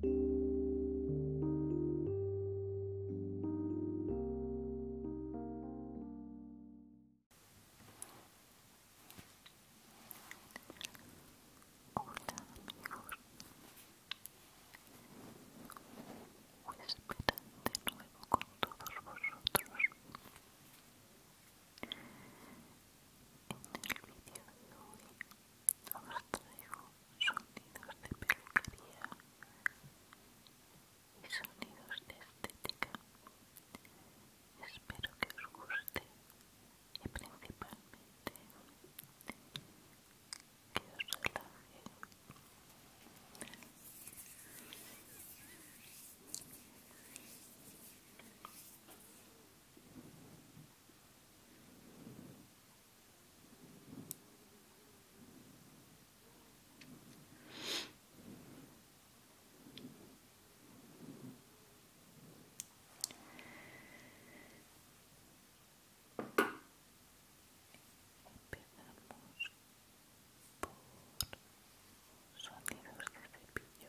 Hola amigos, de nuevo con todos vosotros en el vídeo de hoy os traigo sonidos de este peluquería y sonidos de estética. Espero que os guste y principalmente que os relaje. Empezamos por sonidos de cepillo.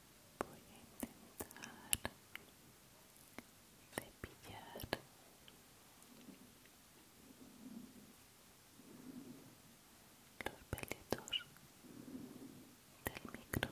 voy a intentar cepillar los pelitos del micro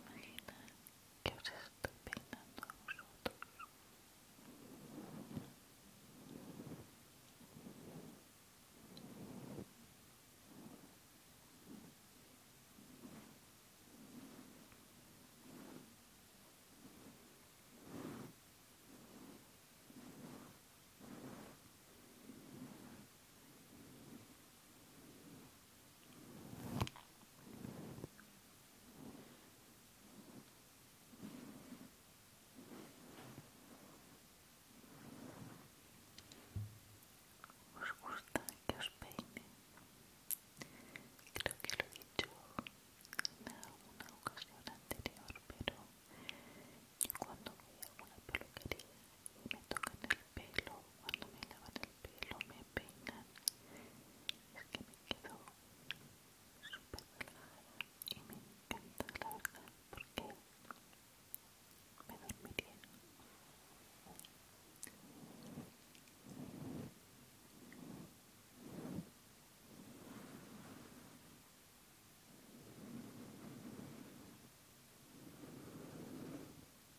Imagina que os estoy peinando a nosotros. ¿Os gusta que os peine? Creo que lo he dicho en alguna ocasión anterior, pero yo cuando voy alguna peluquería me tocan el pelo, cuando me lavan el pelo, me peinan, es que me quedo súper relajada y me encanta la verdad porque me dormiría.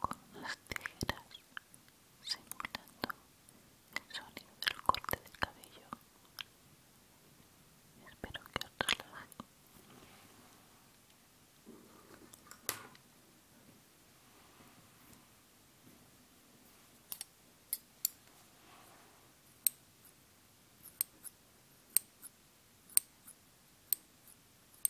con unas tijeras simulando el sonido del corte del cabello. Espero que os relaje.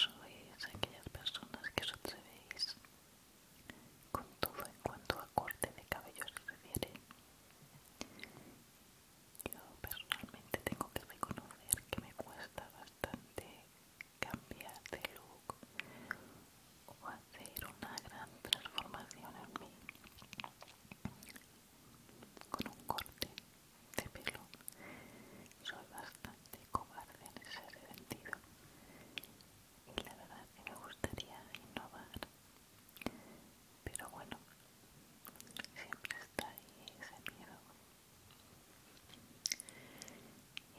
Sois aquellas personas que os atrevéis con todo en cuanto a corte de cabello se refiere yo personalmente tengo que reconocer que me cuesta bastante cambiar de look o hacer una gran transformación en mí con un corte de pelo. Soy bastante cobarde en ese sentido y la verdad que me gustaría innovar pero bueno siempre está ahí ese miedo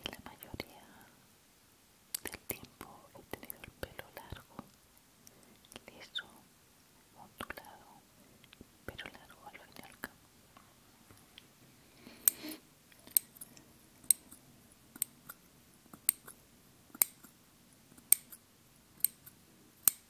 y la mayoría del tiempo he tenido el pelo largo liso ondulado pero largo al fin y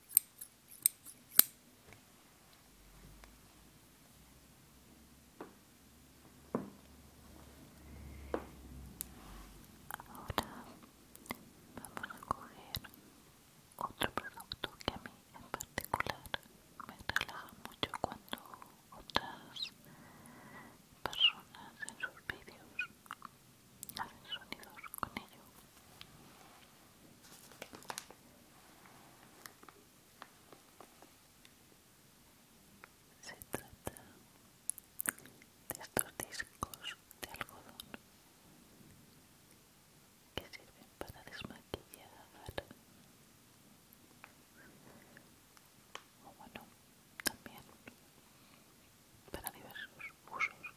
Ahora vamos a coger otro producto que a mí en particular me relaja mucho cuando otras personas en sus vídeos hacen sonidos con ello. Se trata de estos discos de algodón que sirven para desmaquillar o bueno, también para diversos usos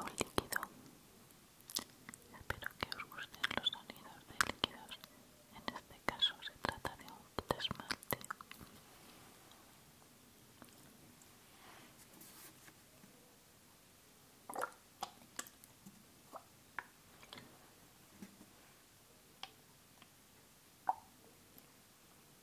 o líquido. Espero que os gusten los sonidos de líquidos. En este caso se trata de un desmalte.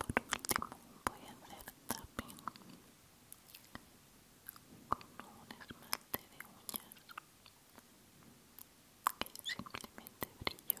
Por último voy a hacer tapping con un esmalte de uñas que simplemente brillo.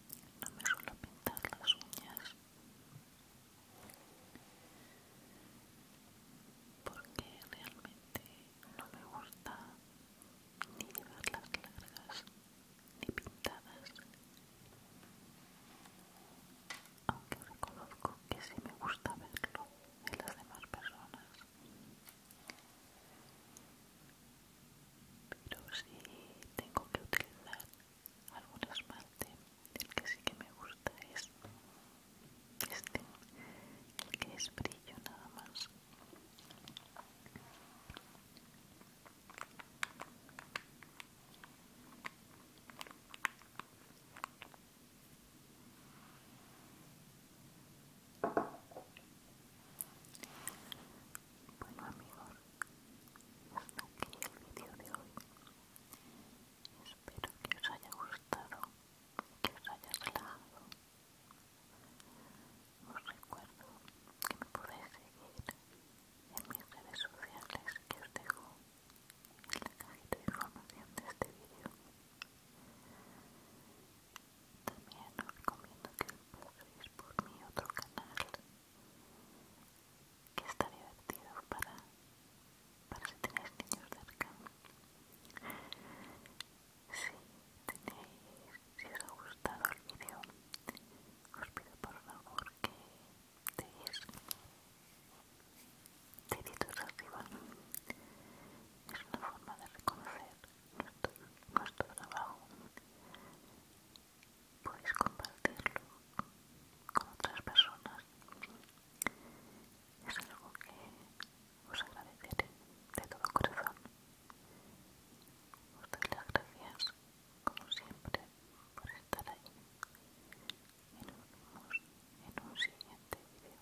no me suelo pintar las uñas porque realmente no me gusta ni verlas largas ni pintadas aunque reconozco que sí me gusta verlo en las demás personas pero sí tengo que utilizar algunas partes el que sí que me gusta es este que es brillo nada más bueno amigos hasta aquí el vídeo de hoy espero que os haya gustado que os haya relajado os recuerdo que me podéis seguir en mis redes sociales que os dejo en la cajita de información de este vídeo también os recomiendo que busquéis por mi otro canal que está divertido para, para si tenéis niños cerca. Si tenéis, si os ha gustado el vídeo, os pido por favor que deis deditos arriba. Es una forma de reconocer nuestro, trabajo, podéis compartirlo con otras personas. Es algo que os agradeceré de todo corazón. Os doy las gracias, como siempre, por estar ahí. Y nos vemos en un siguiente vídeo